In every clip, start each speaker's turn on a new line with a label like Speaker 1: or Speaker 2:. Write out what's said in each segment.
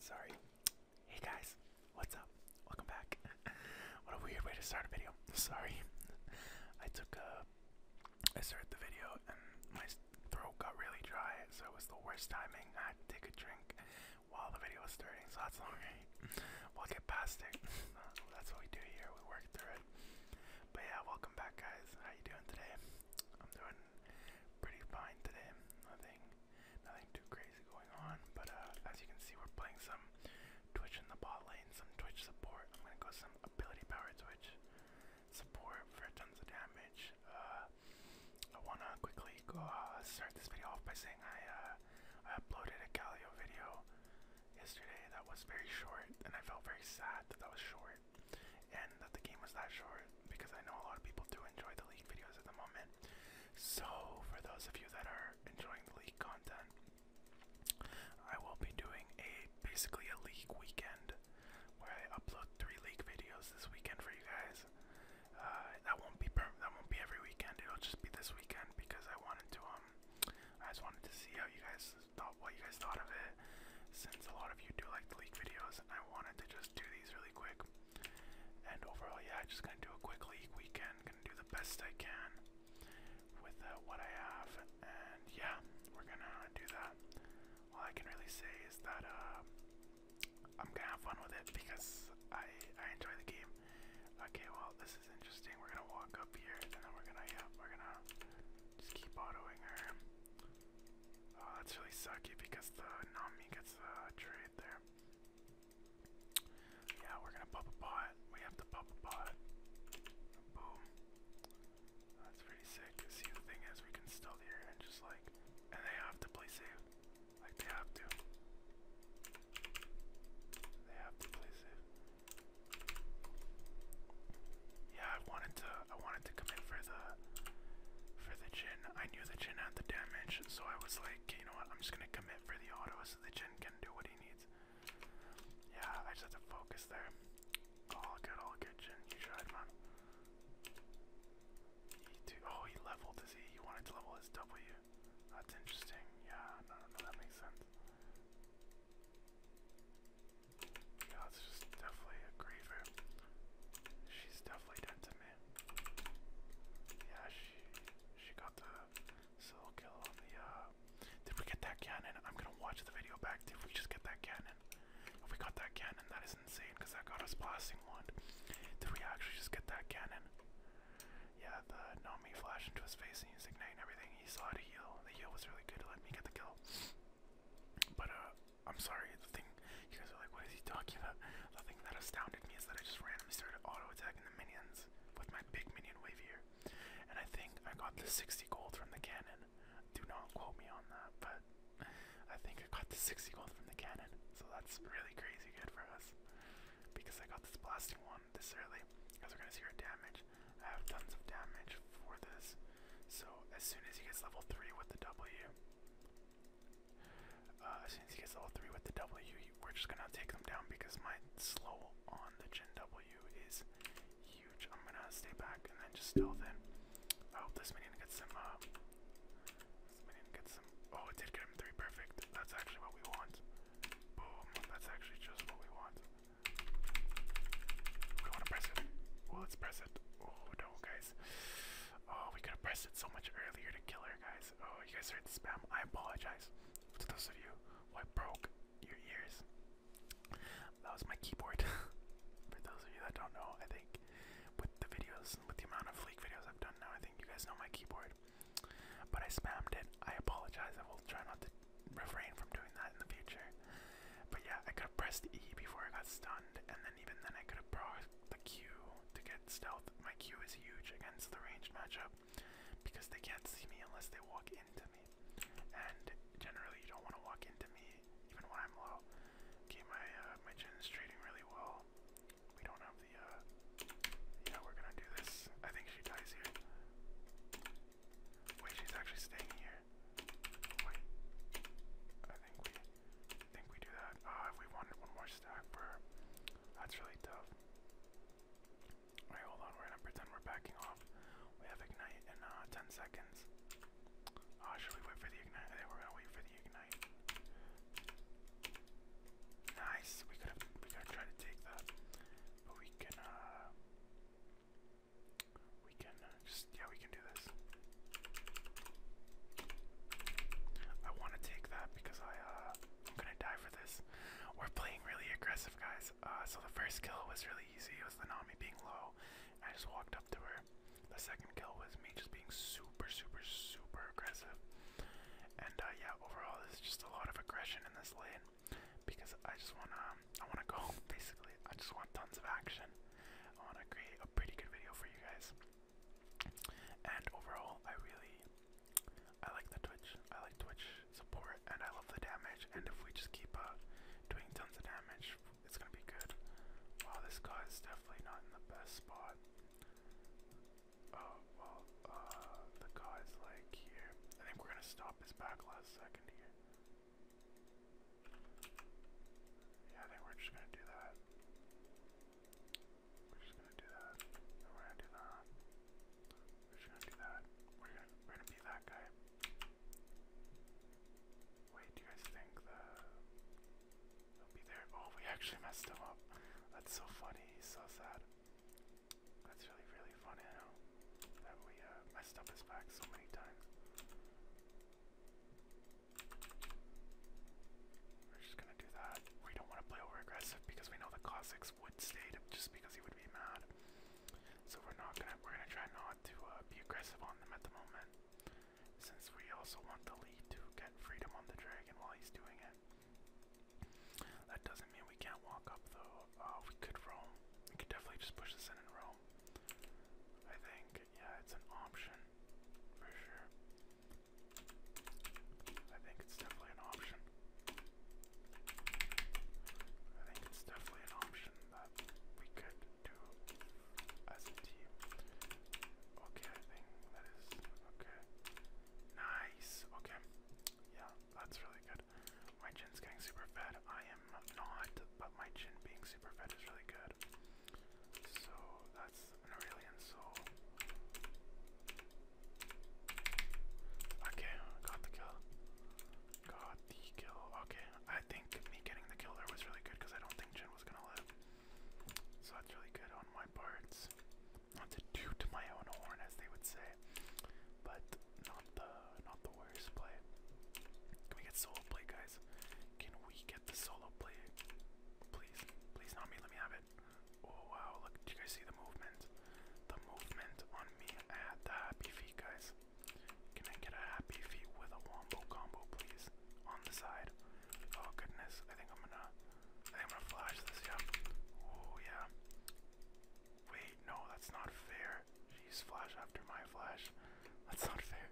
Speaker 1: Sorry. Hey guys, what's up? Welcome back. what a weird way to start a video. Sorry. I took a. I started the video and my throat got really dry, so it was the worst timing. I had to take a drink while the video was starting, so that's alright. We'll get past it. that's what we do here. We work through it. But yeah, welcome back, guys. How you doing today? I'm doing pretty fine today. Nothing, nothing too crazy going on. But uh, as you can see, we're playing some Twitch in the bot lane, some Twitch support. I'm gonna go some ability power Twitch support for tons of damage. Uh, I wanna quickly go uh, start this video off by saying I uploaded a Galio video yesterday that was very short, and I felt very sad that that was short and that the game was that short because I know a lot of people do enjoy the league videos at the moment. So, for those of you that are enjoying the league content, I will be doing a basically a league weekend where I upload three league videos this weekend for you guys. Uh, that won't be per that won't be every weekend. It'll just be this weekend because I wanted to um I just wanted to see how you guys thought what you guys thought of it since a lot of you do like the leak videos, I wanted to just do these really quick. And overall, yeah, just gonna do a quick leak weekend, gonna do the best I can with uh, what I have, and yeah, we're gonna do that. All I can really say is that uh, I'm gonna have fun with it because I I enjoy the game. Okay, well this is interesting. We're gonna walk up here, and then we're gonna yeah, we're gonna just keep autoing her. Oh, that's really sucky because the Nami gets the trade there. Yeah, we're gonna pop a pot. We have to pop a pot. Boom. That's pretty sick. See, the thing is, we can still here and just like, and they have to play safe. Like they have to. They have to play safe. Yeah, I wanted to I wanted to commit for the for the Jhin. I knew the Jhin had the damage, so I was like, you know what, I'm just gonna commit for the auto so the Jhin can do what he needs. Yeah, I just have to focus there. All good, all good, You tried, man. He oh, he leveled, is he? He wanted to level his W. That's interesting. Yeah, no, no that makes sense. Yeah, this just definitely a griever. She's definitely dead to me. Yeah, she she got the solo kill the uh did we get that cannon? I'm gonna watch the video back. Did we just get that cannon? we got that cannon, that is insane because that got us blasting one. Did we actually just get that cannon? Yeah, the Nami flashed into his face and he igniting everything. He saw it heal. The heal was really good let me get the kill. But uh I'm sorry, the thing you guys are like, what is he talking about? The thing that astounded me is that I just randomly started auto-attacking the minions with my big minion wave here. And I think I got the 60 gold from the cannon. Do not quote me on that, but I think I got the 60 gold from the cannon. So that's really crazy good for us. Because I got this blasting one this early. Because we're gonna see our damage. I have tons of damage for this. So as soon as he gets level 3 with the W as soon as he gets level 3 with the W, we're just gonna take them down because my slow on the Gen W is huge. I'm gonna stay back and then just stealth in. I hope this minion gets some, uh, minion gets some, oh, it did get him 3, perfect. That's actually what we want. Boom, that's actually just what we want. We wanna press it. Well, let's press it. Oh, no, okay, Oh, we could have pressed it so much earlier to kill her, guys. Oh, you guys heard the spam. I apologize to those of you who I broke your ears. That was my keyboard. For those of you that don't know, I think with the videos and with the amount of leak videos I've done now, I think you guys know my keyboard. But I spammed it. I apologize. I will try not to refrain from doing that in the future. But yeah, I could have pressed E before I got stunned, and then even then I could have brought the Q to get stealth. My Q is huge against the ranged matchup because they can't see me unless they walk into me. And generally you don't want to walk into me even when I'm low. Okay, my uh, my chin is trading really well. We don't have the uh yeah, we're gonna do this. I think she dies here. Wait, she's actually staying here. I think we I think we do that. Uh, we wanted one more stack, per, that's really tough. Alright, hold on. We're gonna pretend we're backing off. We have ignite in uh, 10 seconds. Uh, should we wait for the ignite? I think we're gonna wait for the ignite. Nice. We could have we could try to take that, but we can. Uh, we can uh, just yeah we can do this. I want to take that because I uh, I'm gonna die for this. We're playing really aggressive, guys. Uh, so the first kill was really easy. It was the Nami being low. I just walked up to her. The second kill was me just being super, super, super aggressive. And uh, yeah, overall, there's just a lot of aggression in this lane because I just wanna, I wanna go. Basically, I just want tons of action. I wanna create pretty good video for you guys. And overall, I really, I like the Twitch. I like Twitch support, and I love the damage. And if we just keep uh, doing tons of damage, it's gonna be good. Wow, this guy is definitely not in the best spot. Oh well, uh, the guy's like here. I think we're gonna stop his back last second here. Yeah, I think we're just gonna do that. We're just gonna do that. we're gonna do that. We're gonna do that. We're gonna we're gonna be that guy. Wait, do you guys think the He'll be there? Oh, we actually messed him up. That's so funny. He's so sad. That's really really funny you that we uh, messed up his back so many times. We're just gonna do that. We don't want to play over aggressive because we know the Cossacks would stay just because he would be mad. So we're not gonna. We're gonna try not to uh, be aggressive on them at the moment, since we also want the lead to get freedom on the dragon while he's doing it. That doesn't mean we can't walk up though. Uh, we could roam. We could definitely just push this in and roam. I think. Yeah, it's an option for sure. I think it's definitely an option. I think it's definitely an option that we could do as a team. Okay, I think that is okay. Nice. Okay. Yeah, that's really good. My chin's getting super fed. I am not, but my chin being super fed is really good. So that's an Aurelian soul. Okay, got the kill. Got the kill. Okay, I think me getting the kill was really good because I don't think Jin was gonna live. So that's really good on my parts. Not to my own horn, as they would say, but not the not the worst play. Can we get soul play, guys? Can we get the solo play? Please, please not me. Let me have it. Oh wow! Look, do you guys see the movement? The movement on me. at the happy feet, guys. Can I get a happy feet with a wombo combo, please? On the side. Oh goodness! I think I'm gonna. I think I'm gonna flash this. Yeah. Oh yeah. Wait, no, that's not fair. She's flash after my flash. That's not fair.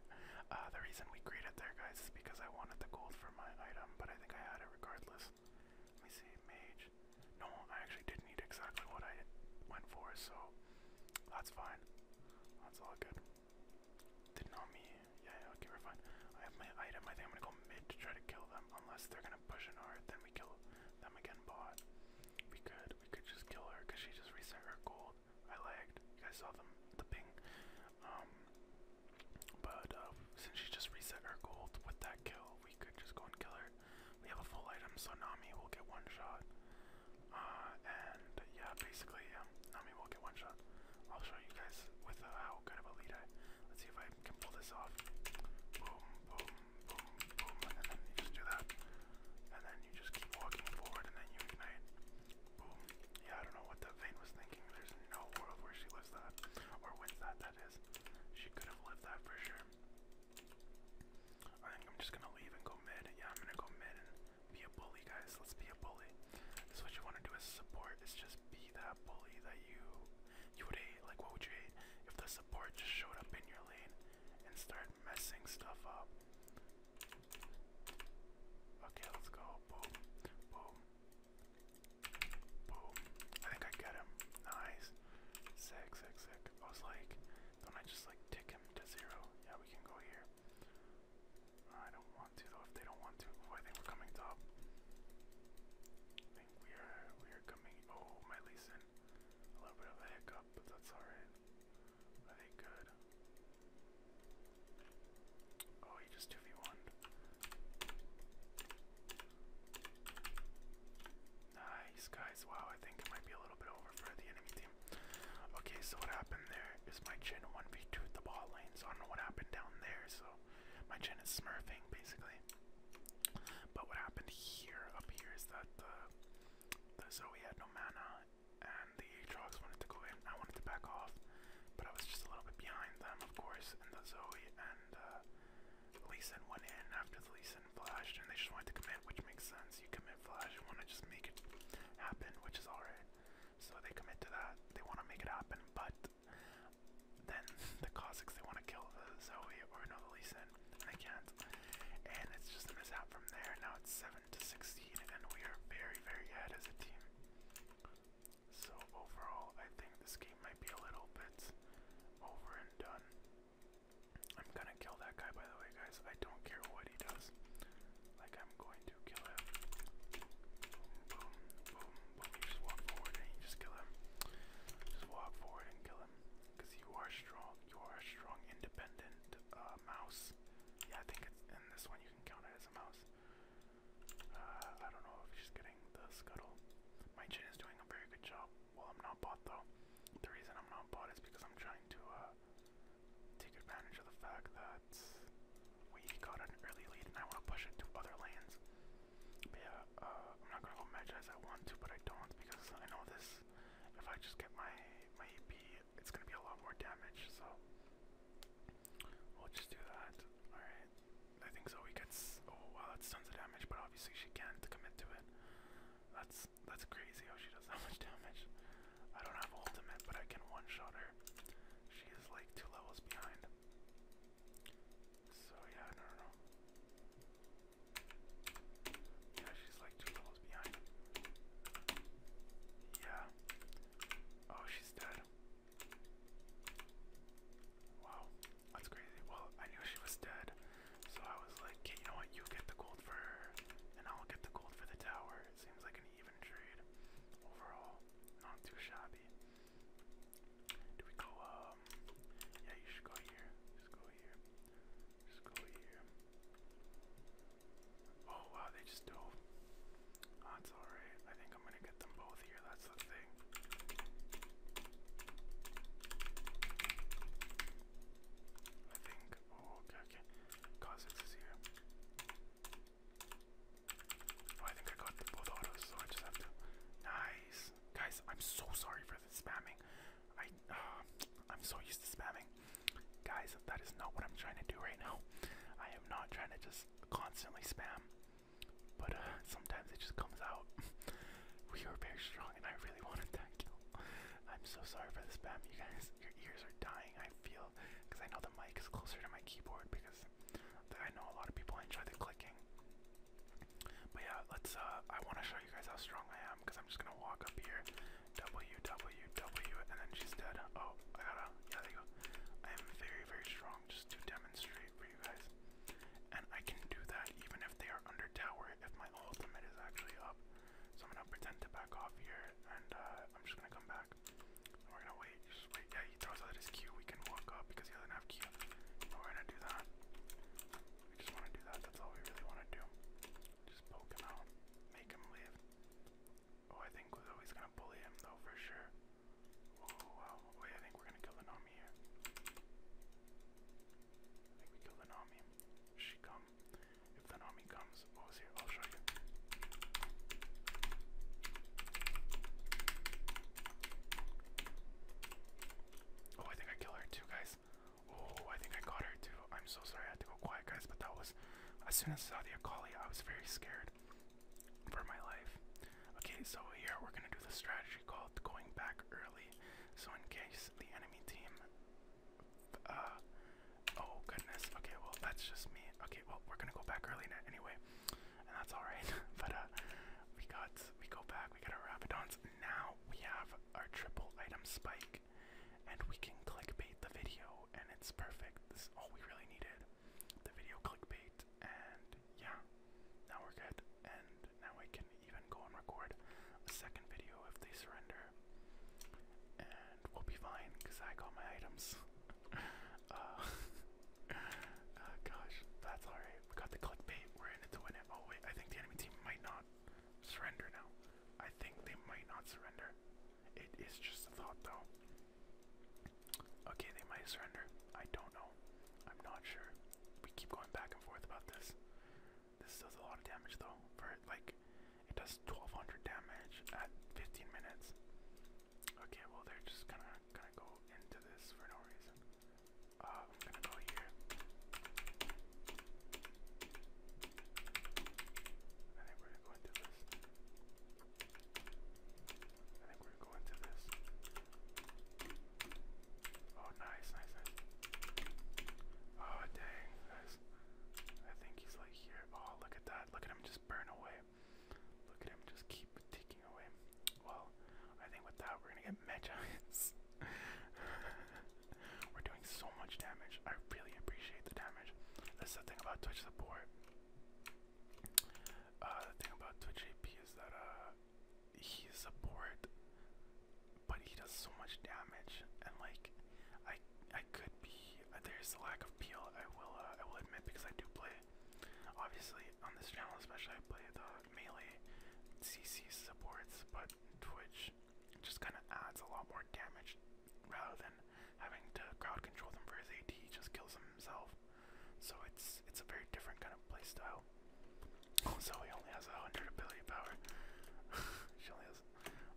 Speaker 1: Uh, the reason we created there, guys, is because I wanted the gold for my item, but I think I had it regardless. Let me see, mage. No, I actually did not need exactly what I went for, so that's fine. That's all good. Did not me. yeah, okay, we're fine. I have my item. I think I'm gonna go mid to try to kill them, unless they're gonna push an art. Then we kill them again. Bot. We could, we could just kill her because she just reset her gold. I lagged. You guys saw them, the ping. Um, but uh, since she just reset her gold with that kill, we could just go and kill her. We have a full item, so Nami will get one shot. Uh, and yeah, basically, yeah, Nami will get one shot. I'll show you guys with uh, how good of a lead I. Let's see if I can pull this off. Boom, boom, boom, boom, and then you just do that. And then you just keep walking forward, and then you ignite. Boom, yeah, I don't know what that vein was thinking. There's no world where she lives that. Or wins that, that is. She could have lived that for sure. I think I'm just gonna leave and go mid. Yeah, I'm gonna go mid and be a bully, guys. Let's be a bully. That's what you wanna do as support, is just be that bully that you you would hate. Like what would you hate if the support just showed up in your lane and started messing stuff up? Okay, let's go. Boom. Boom. Boom. I think I get him. Nice. Sick, sick, sick. I was like, don't I just like tick him to zero? Yeah, we can go here. I don't want to though if they don't want to. Oh, I think we're coming top. we are we are coming oh my Leeson. A little bit of a hiccup, but that's alright. Are they good? Oh, he just 2v1. Nice, guys. Wow, I think it might be a little bit over for the enemy team. Okay, so what happened there is my chin 1v2 the ball lane, so I don't know what happened down there, so my chin is smurfing basically. But what happened here up here is that the, the Zoe had no mana and the Aatrox wanted to go in. I wanted to back off, but I was just a little bit behind them, of course. And the Zoe and uh, Leeson went in after the Leeson flashed, and they just wanted to commit, which makes sense. You commit flash, you want to just make it happen, which is alright. So they commit to that. They want to make it happen, but then the Cossacks they want to kill the Zoe or no the Leeson, and they can't. And it's just a mishap from there. Now it's seven to six and we are very, very ahead as a team. So overall, I think this game might be a little bit over and done. I'm gonna kill that guy, by the way, guys. I don't care what he does. Like, I'm going to kill him. Boom, boom, boom, You just walk forward and you just kill him. Just walk forward and kill him. Because you are strong. You are a strong, independent uh, mouse. Yeah, I think it's in this one count it as a mouse. Uh, I don't know if she's getting the scuttle. My chin is doing a very good job. Well, I'm not bot though. The reason I'm not bot is because I'm trying to uh, take advantage of the fact that we got an early lead and I want to push it to other lanes. yeah, uh, I'm not gonna go match as I want to, but I don't because I know this. If I just get my my EP it's gonna be a lot more damage, so we'll just do that. Alright. I think Zoe gets oh wow that's tons of damage, but obviously she can't commit to it. That's that's crazy how she does that much damage. I don't have ultimate, but I can one-shot her. She is like two levels behind. So yeah, no, no. Yeah, she's like two levels behind. Yeah, Oh, she's dead. Wow, that's crazy. Well, I knew she was dead, so I was like, hey, you know what, you get the gold for her, and I'll get the gold for the tower. It seems like an even trade overall. Not too shabby. Do we go, um, yeah, you should go here. Just go here. Just go here. Oh wow, they just dove. That's alright. I think I'm gonna get them both here, that's the thing. I think oh okay okay. Cosix is here. Oh I think I got both autos, so I just have to Nice. Guys, I'm so sorry for the spamming. I uh, I'm so used to spamming. Guys, that is not what I'm trying to do right now. I am not trying to just constantly spam, but uh, sometimes it just comes out. we are very strong, and I really wanted that kill. I'm so sorry for the spam, you guys. Your ears are dying, I feel, because I know the mic is closer to my keyboard because I know a lot of people enjoy the clicking. But yeah, let's. Uh, I want to show you guys how strong I am because I'm just gonna walk up here, W, and then she's dead. Oh, I gotta, yeah, there you go. I am very, very strong just to demonstrate for you guys. And I can do that even if they are under tower, if my ultimate is actually up. So I'm gonna pretend to back off here, and uh, I'm just gonna come back. we're gonna wait, just wait. Yeah, he throws out his Q, we can walk up because he doesn't have Q. we're gonna do that. We just wanna do that, that's all we really wanna do. Just poke out, make him leave. Oh, I think always gonna bully him though for sure. Oh wow. Wait, I think we're gonna kill the Nami here. I think kill the Nami. She come. If the Nami comes, what oh, was here? I'll show you. Oh, I think I killed her too, guys. Oh, I think I got her too. I'm so sorry I had to go quiet, guys, but that was. As soon as I saw the Akali, I was very scared for my life. Okay, so here we're gonna do the strategy called going back early. So in case the enemy team, uh, oh goodness. Okay, well that's just me. Okay, well we're gonna go back early now anyway, and that's all right. but uh, we got we go back. We get our rapidons. Now we have our triple item spike, and we can clickbait the video and it's perfect. This is all we really needed. The video clickbait, and yeah, now we're good. And now we can even go and record a second video if they surrender, and we'll be fine because I got my items. Uh, uh, gosh, that's alright. We got the clickbait, we're in it to win it. Oh, wait, I think the enemy team might not surrender now. I think they might not surrender. It is just a thought, though. Okay, they might surrender. I don't know. I'm not sure. We keep going back and forth about this. This does a lot of damage though. For like, it does 1200 damage at 15 minutes. Okay, well they're just gonna gonna go into this for no reason. Uh, I'm gonna go here. I we're gonna go into this. I think we're going to this. Oh, nice, nice, nice. Oh, dang. Nice. I think he's like here. Oh, look at that. Look at him just burn away. Look at him just keep ticking away. Well, I think with that, we're going to get Magites. we're doing so much damage. I really appreciate the damage. That's the thing about Twitch support. Uh, the thing about Twitch AP is that uh, he's support, but he does so much damage, and like, I I could be uh, there's a lack of appeal. I will uh, I will admit because I do play, obviously on this channel especially I play the melee CC supports, but Twitch just kind of adds a lot more damage rather than having to crowd control them for his AD, he just kills them himself. So it's it's a very different kind of playstyle. Oh, Zoe only has a hundred ability power. she only has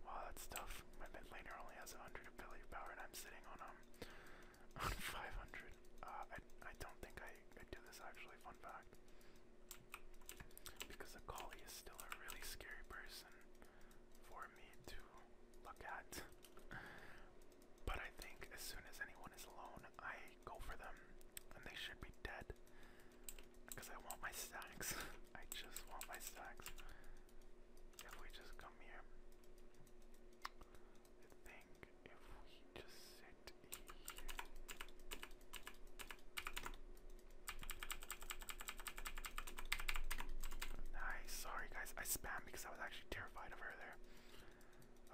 Speaker 1: wow, that's tough. My mid laner only has a hundred ability power, and I'm sitting on um on five hundred. Uh, I I don't think I I do this actually. Fun fact. Because the Akali is still a really scary person for me to look at. But I think as soon as anyone is alone, I go for them, and they should be dead. Because I want my stacks. I just want my stacks. If we just come here, I think if we just sit here. Nice. Sorry, guys. I spam because I was actually terrified of her there.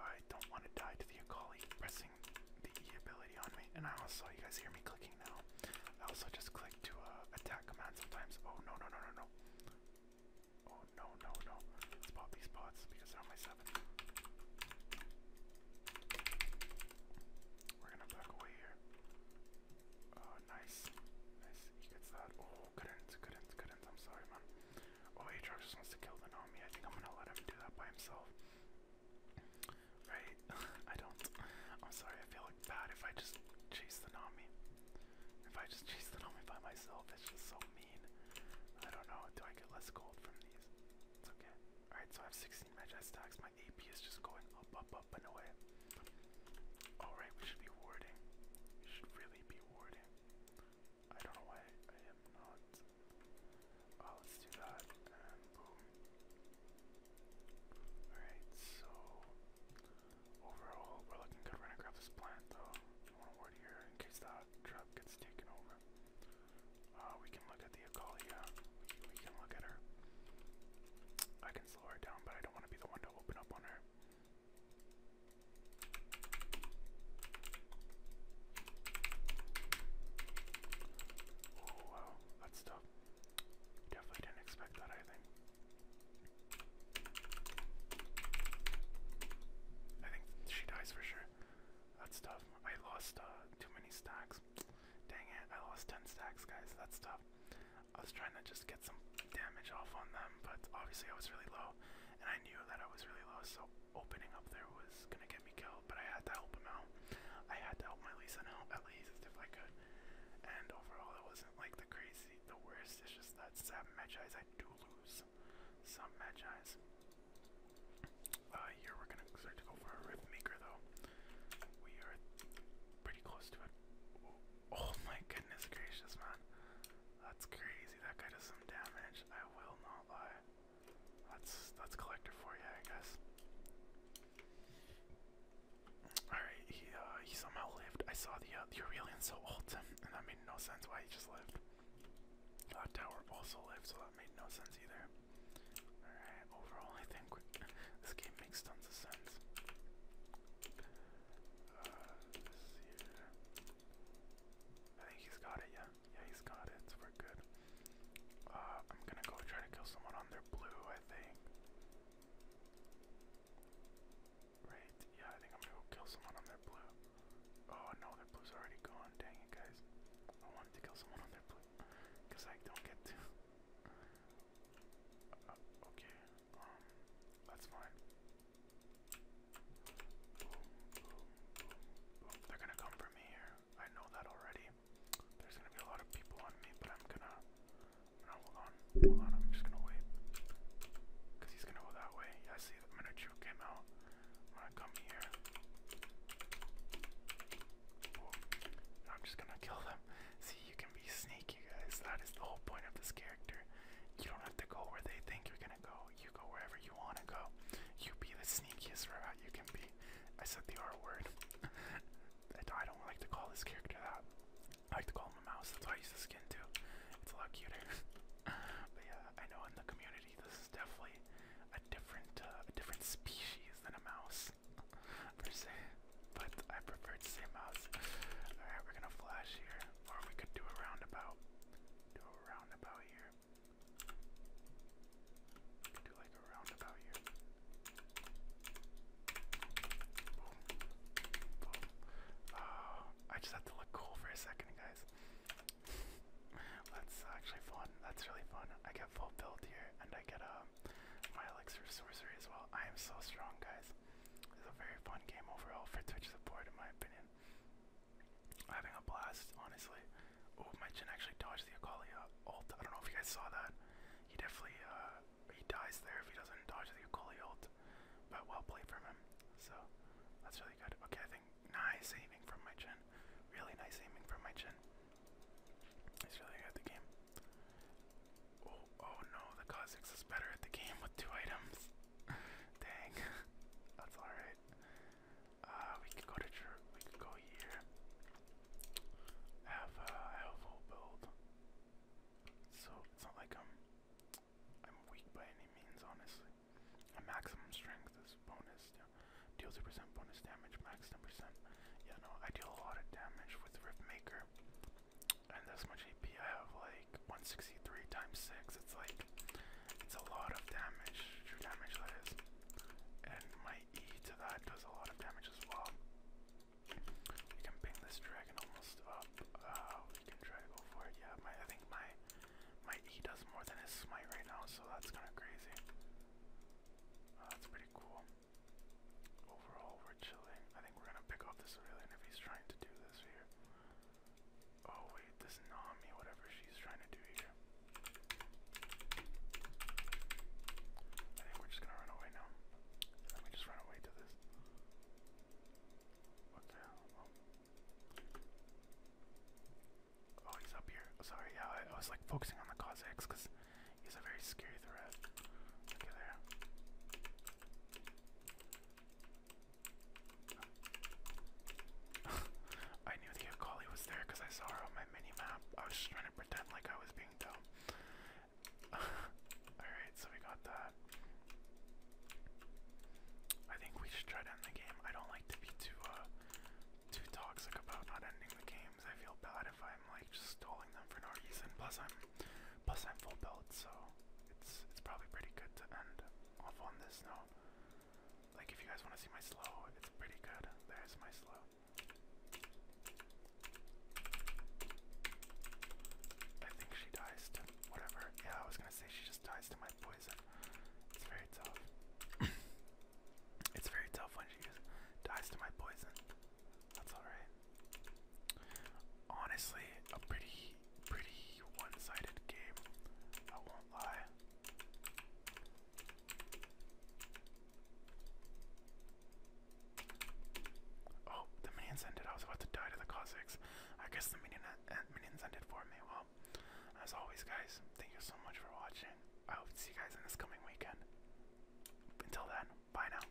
Speaker 1: I don't want to die to the Akali pressing the ability on me. And I also, you guys hear me clicking now. I also just click to uh, attack command sometimes. Oh no, no, no, no, no. Oh no, no, no. let these pots because they're my 7. We're gonna back away here. Oh, nice. Nice. He gets that. Oh, couldn't, couldn't, couldn't. I'm sorry, man. Oh, Aatrox just wants to kill the Nami. I think I'm gonna let him do that by himself. Right? I don't. I'm sorry, I feel like bad if I just chase the Nami. If I just chase the Nami by myself, it's just so mean. I don't know. Do I get less gold from these? It's okay. Alright, so I have 16 magic stacks. My AP is just going up, up, up, and away. Alright, we should be warding. We should really be warding. I don't know why I am not. Oh, let's do that, and boom. Alright, so. Overall, we're looking good. We're gonna grab this plant though. We want to ward here in case that trap gets taken over. Uh, we can look at the Akalia. we can look at her. I can slow her down, but I don't want to be the one to open up on her. Oh wow, that's tough. Definitely didn't expect that, I think. I think she dies for sure. That's tough. I lost uh, too many stacks. Dang it, I lost 10 stacks, guys. That's tough. I was trying to just get some damage off on them, but obviously I was really low, and I knew that I was really low, so opening up there was gonna get me killed, but I had to help him out. I had to help my Lisa out at least if I could. And overall it wasn't like the crazy the worst, it's just that some matches I do lose. Some matches. Uh here we're gonna start to go for a rift maker though. We are pretty close to it. Oh my goodness gracious, man. That's crazy. That guy does some damage. I will not lie. That's that's collector for you, I guess. Alright, he uh he somehow lived. I saw the uh the Aurelian so old, and that made no sense why he just lived. Uh tower also lived, so that made no sense either. Alright, overall I think this game makes tons of sense. Uh, let I think he's got it, yeah. Yeah, he's got it, so we're good. Uh, I'm gonna go try to kill someone on their blue, I think. Right, yeah, I think I'm gonna kill someone on their blue. Oh no, their blue's already gone, dang it guys. I wanted to kill someone on their blue, because I don't get to okay, um, that's fine. They're gonna come for me here. I know that already. There's gonna be a lot of people on me, but I'm gonna. hold on, hold on. I'm just gonna wait. Cause he's gonna go that way. I see. The minute came out, I'm gonna come here. I'm just gonna kill them. See, you can be sneaky, guys. That is the whole point of this game. You don't have to go where they think you're gonna go. You go wherever you wanna go. You be the sneakiest rat you can be. I said the R word. I don't like to call this character that. I like to call him a mouse. That's why I use the skin too. It's a lot cuter. but yeah, I know in the community this is definitely a different, uh, a different species than a mouse per se. But I prefer to say mouse. All right, we're gonna flash here. Or we could do a roundabout. Do a roundabout here. do like a roundabout here. Boom. Boom. Oh, I just had to look cool for a second, guys. That's actually fun. That's really fun. I get full build here, and I get um, my elixir sorcery as well. I am so strong, guys. It's a very fun game overall for Twitch support, in my opinion. Having a blast, honestly. Oh, my Jhin actually dodges the Akali uh, ult. I don't know if you guys saw that. He definitely uh, he dies there if he doesn't dodge the Akali ult. But well played from him. So that's really good. Okay, I think nice aiming from my Jhin. Really nice aiming from my Jhin. It's really good the game. Oh, oh, no, the Kha'Zix is better at the game with two items. Dang, that's alright. Uh, we could go to church, we could go here. Have, uh, I build. So, it's not like I'm, I'm weak by any means, honestly. A maximum strength is bonus, Deal 2% bonus damage, max 10%. Yeah, no, I deal a lot of damage with Rift Maker and this much AP I have like 163 times 6 it's like it's a lot of damage true damage that is and my E to that does a lot of damage as well we can ping this dragon almost up uh, we can try to go for it yeah my I think my my E does more than his smite right now so that's kind of crazy uh, that's pretty cool overall we're chilling I think we're gonna pick off this Aurelion if he's trying to do Oh wait, this Nami, whatever she's trying to do here. I think we're just gonna run away now. Let me just run away to this. What the hell? Oh, oh he's up here. sorry, yeah, I, was like focusing on the cause because he's a very scary threat. Look at there. I knew the Akali was there because I saw her on my mini map. I was just trying to pretend like I was being dumb. Alright, so we got that. I think we should try to end the game. I don't like to be too uh too toxic about not ending the games. I feel bad if I'm like just stalling them for no reason. Plus I'm plus I'm full build, so it's it's probably pretty good to end off on this note. Like if you guys want to see my slow, it's pretty good. There's my slow. I think she dies to whatever. Yeah, I was gonna say she just dies to my poison. It's very tough. it's very tough when she dies to my poison. That's alright. Honestly, a pretty, pretty one-sided game. I won't lie. Oh, the minions ended. I was about to die to the Cossacks. I guess the uh, uh, minions ended for me. Well, as always, guys, thank you so much for watching. I hope to see you guys in this coming weekend. Until then, bye now.